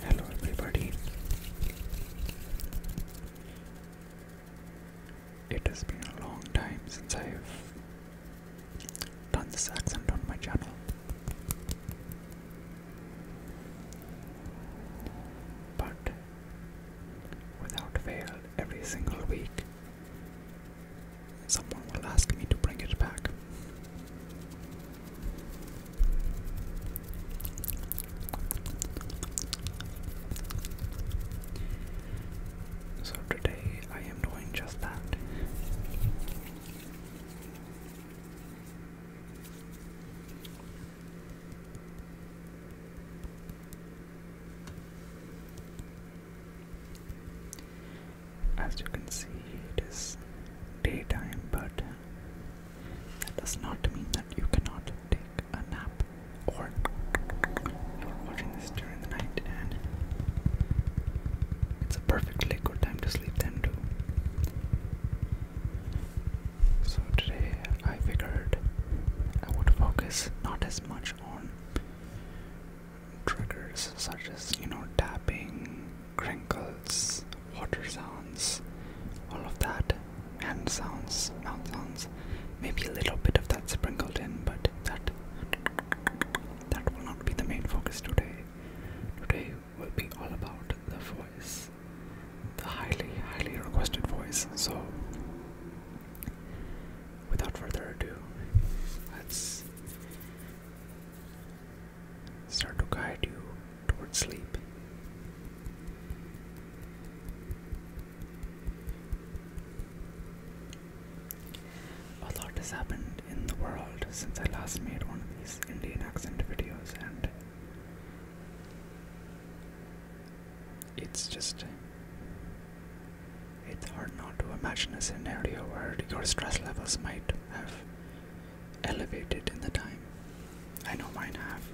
Hello, everybody. It has been a long time since I've done this accent on my channel. But without fail, every single week Someone will ask me to bring it back. So today I am doing just that. As you can see, it is daytime, but that does not mean that you cannot take a nap or you're watching this during the night and it's a perfectly good time to sleep then too. So today I figured I would focus not as much on triggers such as you know tapping, crinkles, water sounds, all of that, hand sounds, mouth sounds. Maybe a little bit of that sprinkled in, but that that will not be the main focus today. Today will be all about the voice, the highly, highly requested voice. So without further ado, let's start to guide you towards sleep. A lot has happened in the world since I last made one of these Indian accent videos, and it's just it's hard not to imagine a scenario where your stress levels might have elevated in the time. I know mine have.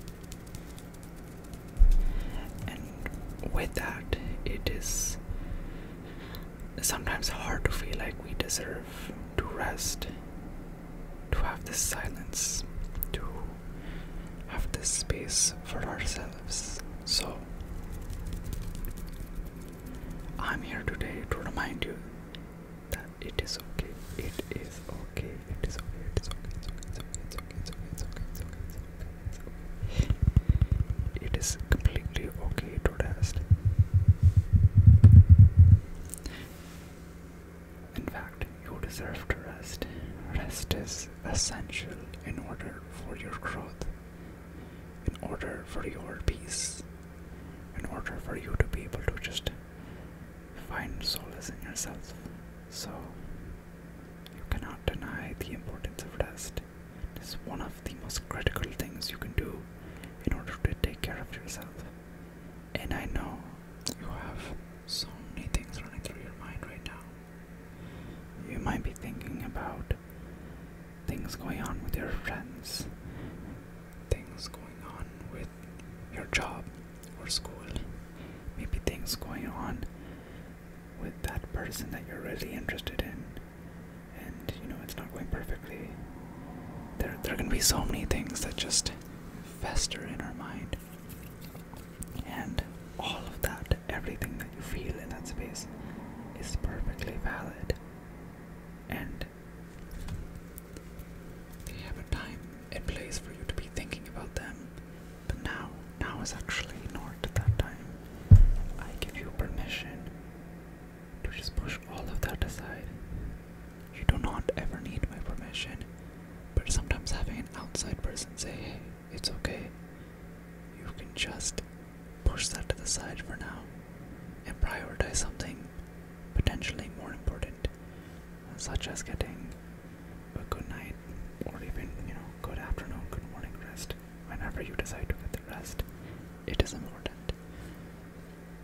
And with that, it is sometimes hard to feel like we deserve to rest, to have this silence, to have this space for ourselves. So, I'm here today to remind you that it is okay. It is okay. It is okay. It is okay. It's okay. It's okay. It's okay. It's okay. It's okay. It's okay. It's okay. It's okay. its completely okay to rest. In fact, you deserve to rest. Rest is essential in order for your growth, in order for your peace, in order for you to be able to just find solace in yourself. So, you cannot deny the importance of rest. It is one of the most critical things you can do in order to take care of yourself. And I know you have so many things running through your mind right now. You might be thinking about things going on with your friends, things going on with your job or school, maybe things going on with that person that you're really interested in, and you know it's not going perfectly. There, there can be so many things that just fester in our mind. And all of that, everything that you feel in that space, is perfectly valid. And they have a time, and place for you to be thinking about them. But now, now is actually not that time. I give you permission to just push all of that aside. You do not ever need my permission. But sometimes having an outside person say, hey, it's okay, you can just push that to the side for now and prioritize something potentially more important, such as getting a good night or even, you know, good afternoon, good morning rest. Whenever you decide to get the rest, it is important.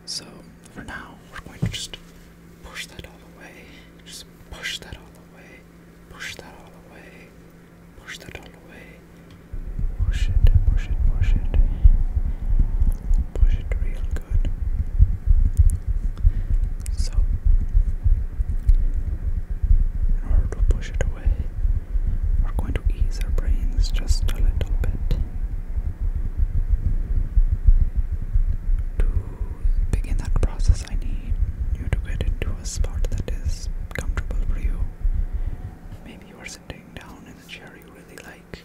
So, for now, we're going to just Push that all away. Just push that all away. Push that all away. Push that all away. Push it, push it, push it. Push it real good. So, in order to push it away, we're going to ease our brains just a little bit. To begin that process, I need you to get into a spot that is comfortable for you. Maybe you are sitting down in a chair you really like.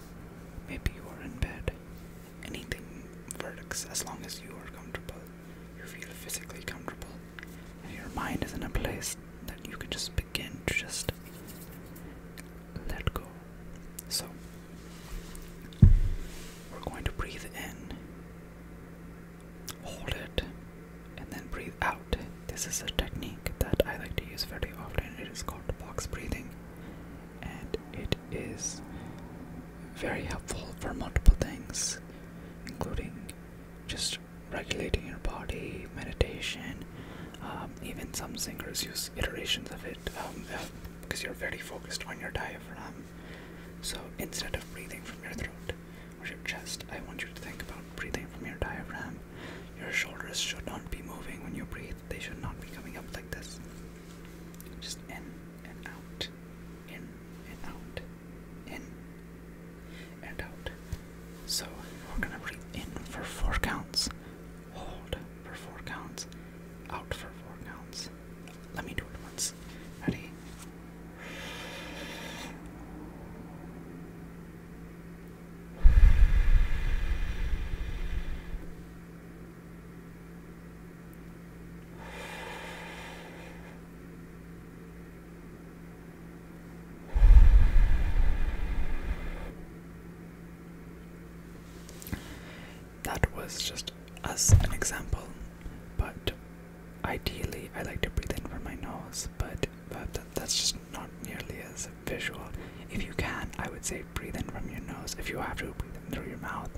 Maybe you are in bed. Anything works as long as you are comfortable. You feel physically comfortable. And your mind is in a place that you can just begin to just let go so we're going to breathe in, hold it, and then breathe out. This is a technique that I like to use very often. It is called box breathing, and it is very helpful for multiple things, including just regulating your body, meditation. Um, even some singers use iterations of it. Um, because you're very focused on your diaphragm. So instead of breathing from your throat or your chest, I want you to think about breathing from your diaphragm. Your shoulders should not be moving when you breathe, they should not be coming up like this. Just in and out, in and out, in and out. So we're gonna breathe in for four counts hold for four counts, out for four counts. Let me do it once. Ready? That was just as an example, but ideally I like to breathe in from my nose, but, that's just not nearly as visual. If you can, I would say breathe in from your nose. If you have to, breathe in through your mouth.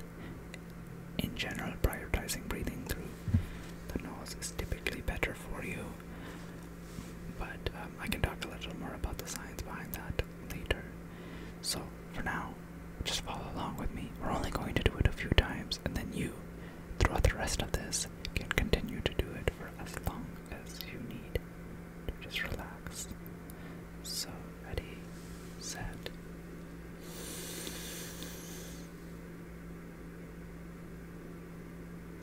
In general, prioritizing breathing through the nose is typically better for you, but um, I can talk a little more about the science behind that later. So for now, just follow along with me. We're only going to do it a few times, and then you, throughout the rest of this, can continue to do it for as long as you need to just relax. So, ready, set.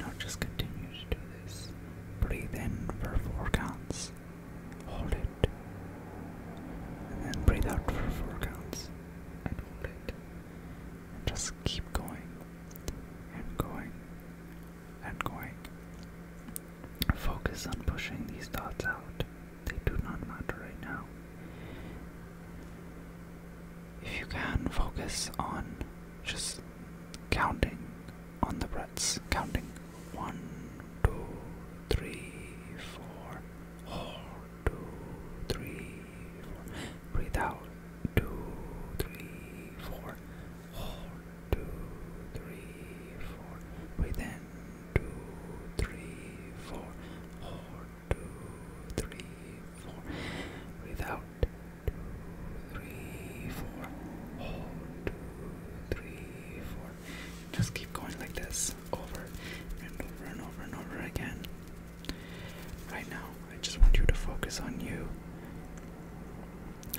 Now just continue to do this. Breathe in for four counts. Hold it. And then breathe out for four counts. And hold it. And just keep going. And going. And going. Focus on pushing these thoughts out. They do not matter right now. If you can, focus on just counting on the breaths, counting one, two, three, four, four, two, three, four. Breathe out, two, three, four, four, two, three, four. Breathe in, two, three, four, four, two, three, four. Breathe out, two, three, four. Hold, two, three, four. Just keep going like this over and over and over and over again. Right now, I just want you to focus on you.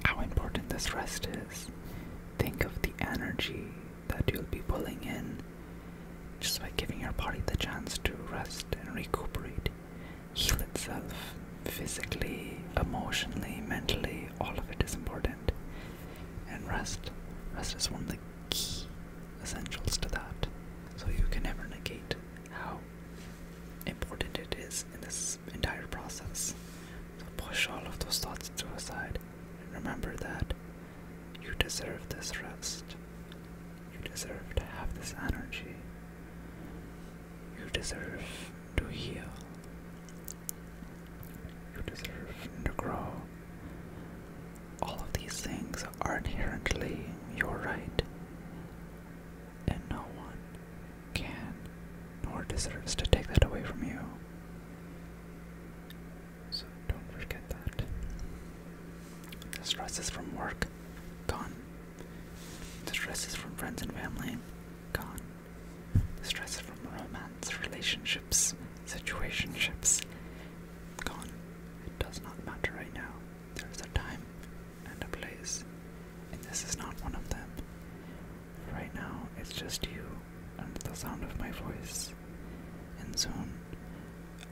How important this rest is. Think of the energy that you'll be pulling in just by giving your body the chance to rest and recuperate heal itself physically, emotionally, mentally, all of it is important. And rest, rest is one of the key essentials to that. So you can never negate how important it is in this entire process. So push all of those thoughts to the side and remember that you deserve this rest. You deserve to have this energy. You deserve to heal. You deserve to grow. All of these things are inherently your right, and no one can nor deserves to take that away from you. So don't forget that. The stresses from work Gone. The stresses from friends and family. Gone. The stresses from romance, relationships, situationships. Gone. It does not matter right now. There is a time and a place, and this is not one of them. Right now, it's just you and the sound of my voice, and soon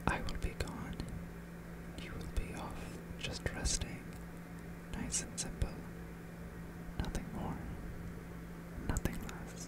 I will be gone. You will be off, just resting, nice and simple. Nothing more, nothing less.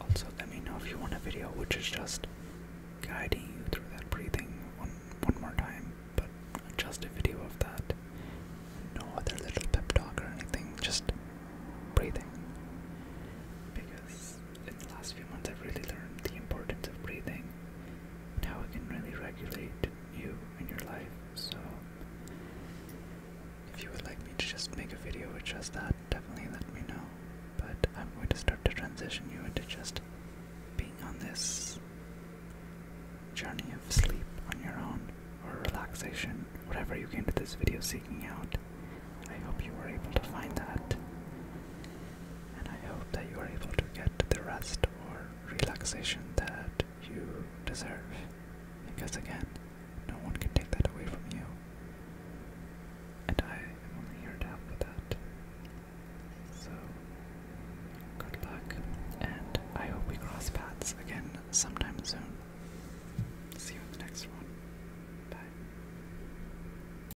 Also, let me know if you want a video which is just guiding you through that breathing one, one more time, but just a video of that. No other little pep talk or anything, just breathing. Because in the last few months, I've really learned the importance of breathing now we can really regulate you in your life. So, if you would like me to just make a video with just that, definitely let me know. But I'm going to start to transition you into just being on this journey of sleep on your own or relaxation, whatever you came to this video seeking out. I hope you were able to find that and I hope that you are able to get the rest or relaxation that you deserve. Because again, no one can take that away from you. And I am only here to help with that. So, good luck, and I hope we cross paths again sometime soon. See you in the next one. Bye.